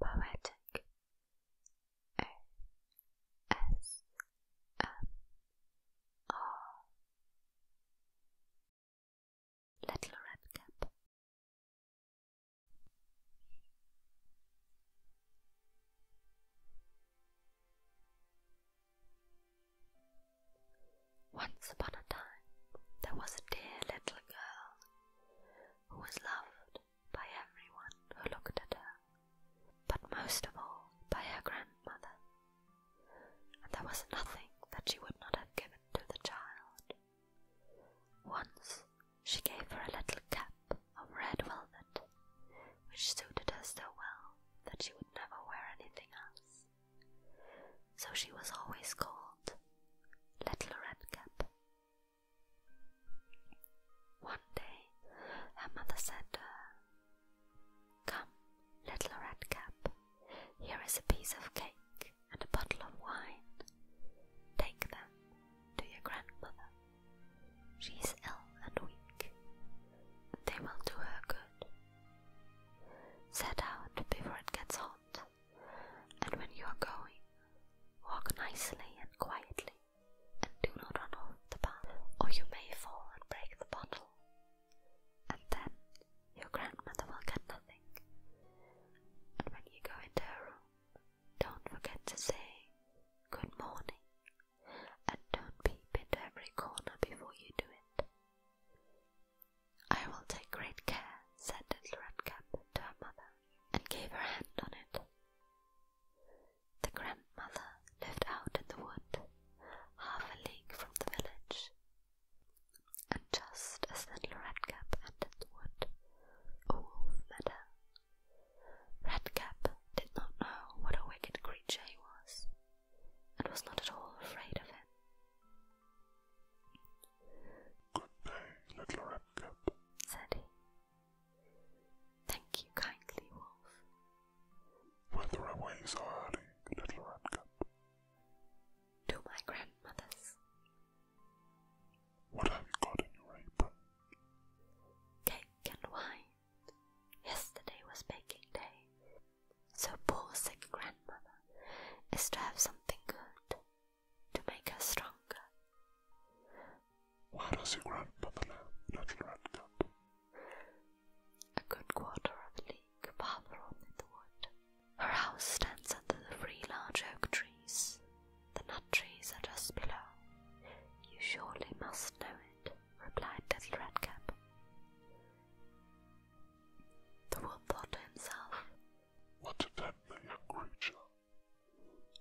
Poetic O S M R Little Red Cap Once upon a time there was a dear little girl who was loved by everyone who looked at her, but most of all by her grandmother. And there was nothing that she would not have given to the child. Once she gave her a little cap of red velvet, which suited her so well that she would never wear anything else. So she was always called Little Red Cap. One day her mother said to her, Come, Little Red Cap, here is a piece of cake and a bottle of wine. Take them to your grandmother. She is ill and weak. They will do her good. Set out before it gets hot. And when you are going, walk nicely and quietly, and do not run off the path, or you may fall and break the bottle. And then your grandmother will get nothing. And when you go into her room, don't forget to say good morning, and don't peep into every corner before you do it. I will take great care, said little Redcap to her mother, and gave her hand on it. The grandmother lived out in the wood, half a league from the village, and just as little Redcap entered the wood, a wolf met her. Redcap did not know what a wicked creature he was, and was not at all afraid of him. Good little Redcap, said he. Thank you kindly, Wolf. Whither away so little Redcap? To my grandmother's. What have you got in your apron? Cake and wine. Yesterday was baking day, so poor sick grandmother is to have something good to make her stronger. Why does your grandmother let rat up? A good quarter of a league farther on in the wood. Her house stands under the three large oak trees. The nut trees are just below. You surely must know it, replied little Redcap. The wolf thought to himself, what a tender young creature.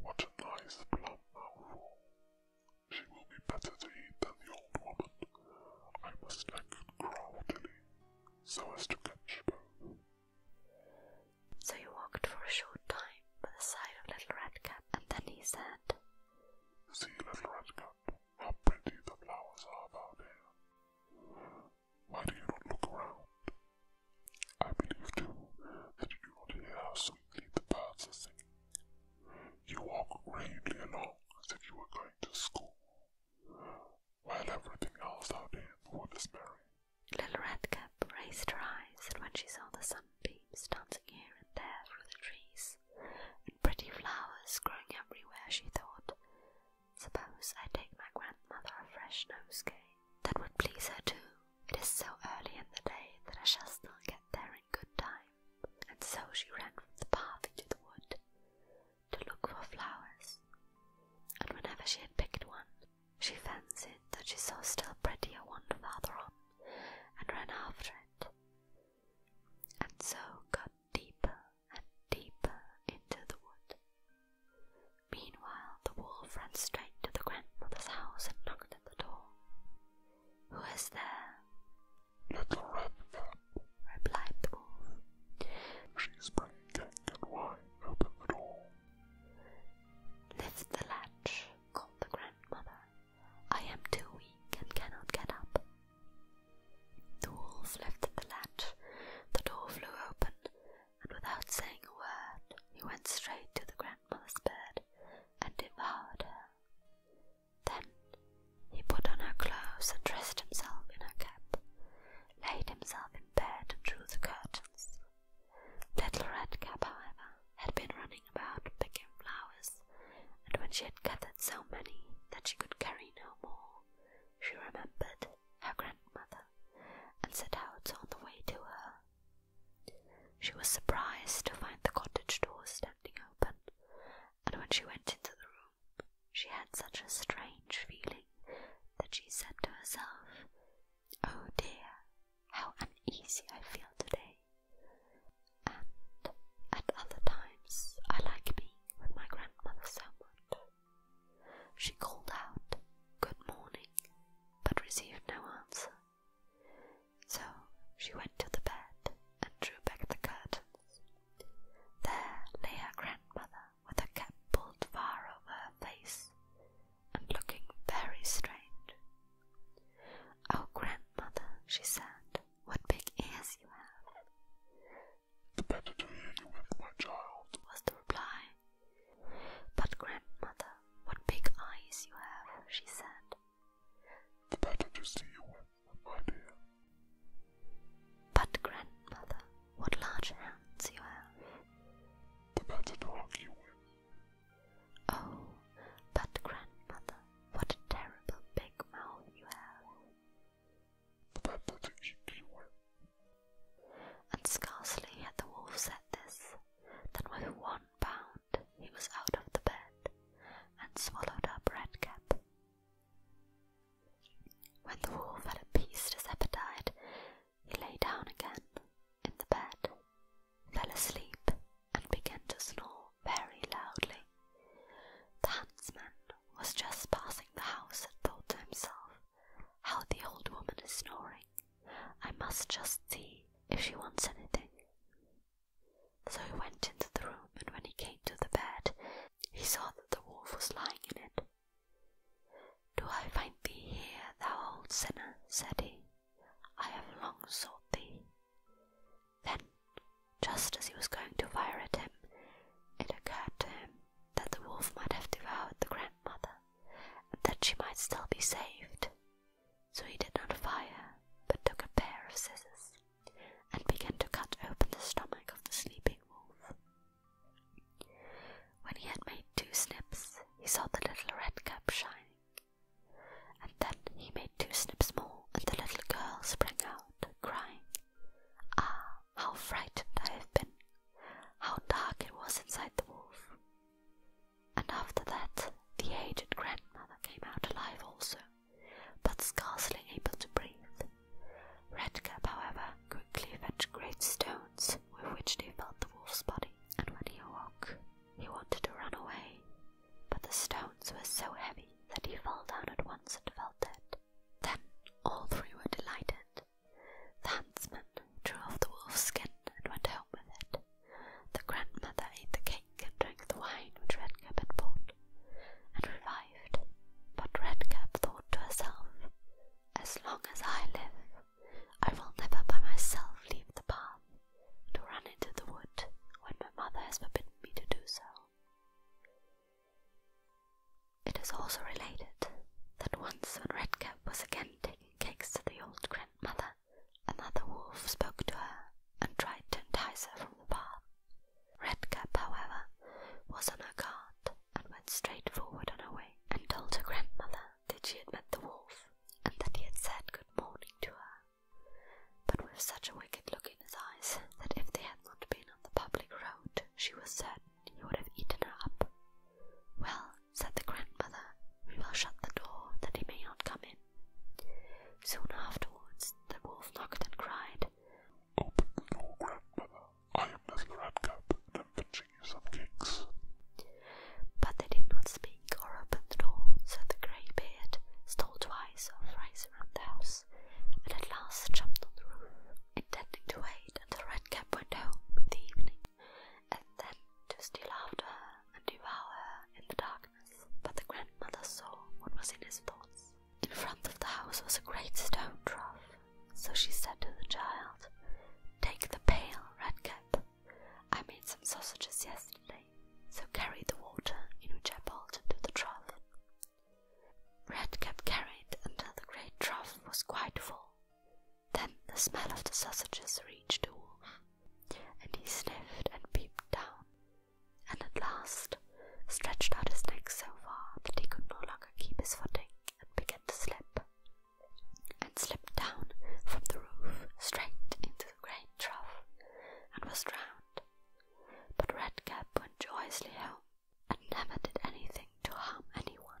What a nice plum mouthful. She will be better to eat than the old woman. I must act craftily, so as to catch both. So he walked for a short time by the side of Little Red Cap, and then he said, See, Little Red Cap, how pretty the flowers are about here. Why do you not look around? I believe, too, that you do not hear how sweetly the birds are singing. You walk gravely along as if you were going to school, while everything else out here is merry. Little Redcap raised her eyes, and when she saw the sunbeams dancing here and there through the trees, and pretty flowers growing everywhere, she thought, Suppose I take my grandmother a fresh nosegay. That would please her too. It is so early in the day that I shall still get there in good time. And so she ran from the path into the wood to look for flowers. And whenever she had picked one, she fancied that she saw still prettier one farther on, and ran after it, and so got deeper and deeper into the wood. Meanwhile, the wolf ran straight to the grandmother's house and knocked at the door. Who is there? Little Red Cap, replied the wolf. She's bringing cake and wine. Open the door. Lift the latch, called the grandmother. I am too weak and cannot get up. The wolf lifted the latch. The door flew open, and without saying a word, he went straight to the grandmother's bed and devoured her. Then he put on her clothes and dressed himself in her cap, laid himself in bed and drew the curtains. Little Red Cap, however, had been running about picking flowers, and when she had gathered so many that she could carry no more, she remembered her grandmother and set out on the way to her. She was surprised to find the cottage door standing open, and when she went into the room, she had such a strange feeling that she said to herself, Oh dear, how uneasy I feel today. And at other times, I like being with my grandmother so much. She called out, Good morning, but received no answer. So she went to the bed and drew back the curtains. There lay her grandmother with her cap pulled far over her face and looking very strange. Oh, grandmother, she said, what big ears you have! The better to hear you with, my child, was the reply. But, grandmother, what big eyes you have, she said. The better to see you with, oh, my dear. But, grandmother, what large hands you have. The better to hug you with. Oh, but, grandmother, what a terrible big mouth you have. And scarcely had the wolf said this, than with one bound he was out of the bed and swallowed up Redcap. When the wolf had appeased his appetite, he lay down again in the bed, fell asleep, and began to snore very loudly. The huntsman was just passing the house and thought to himself, how the old woman is snoring. I must just see if she wants anything. So he went into the room, and when he came to the bed, he saw that the wolf was lying in it. Do I find thee here, thou old sinner? said he. I have long sought thee. Then, just as he was going to fire at him, it occurred to him that the wolf might have devoured the grandmother that she might still be saved. So he did not fire, but took a pair of scissors and began to cut open the stomach of the sleeping wolf. When he had made two snips, he saw the little red cap shining, and then he made two snips more, and the little girl sprang out, crying, Ah, how frightened I have been, how dark it was inside the wolf. And after that, the aged grandmother came out alive also, but scarcely able to breathe. Redcap, however, quickly fetched great stones with which they filled the wolf's body, and when he awoke, he wanted to run away, but the stones were so heavy that he fell down at once and felt dead. Then all three were delighted, the huntsman drew off the wolf's skin and went home with it. The grandmother ate the cake and drank the wine which Redcap had brought, and revived. But Redcap thought to herself, As long as I live, I will never by myself leave the path, to run into the wood when my mother has forbidden me to do so. It is also related that once when Redcap was again taking cakes to the old grandmother, another wolf spoke to her and tried to entice her from the path. Redcap, however, was on her guard and went straight forward on her way and told her grandmother that she had met the wolf and that he had said good morning to her, but with such a wicked look in his eyes that if they had not been on the public road she was certain he would have eaten her up. Well, said the grandmother, we will shut the door that he may not come in. Soon afterwards, the wolf knocked and cried, Open the door, grandmother. I am the Little Redcap, I am fetching you some cakes. But they did not speak or open the door, so the greybeard stole twice or thrice around the house, and at last jumped on the roof, intending to wait until Redcap went home in the evening and then to steal after her and devour her in the darkness. But the grandmother saw what was in his thoughts. In front of the house was a great stone trough, so she said to the child, Take the pail, Redcap. I made some sausages yesterday, so carry the water in which I boiled them to the trough. Redcap carried until the great trough was quite full, then the smell of the sausages reached the wolf, and he sniffed and peeped down, and at last stretched out his neck so far that he could no longer keep his footing and began to slip, and slipped down from the roof straight into the great trough, and was drowned. But Redcap went joyously home and never did anything to harm anyone.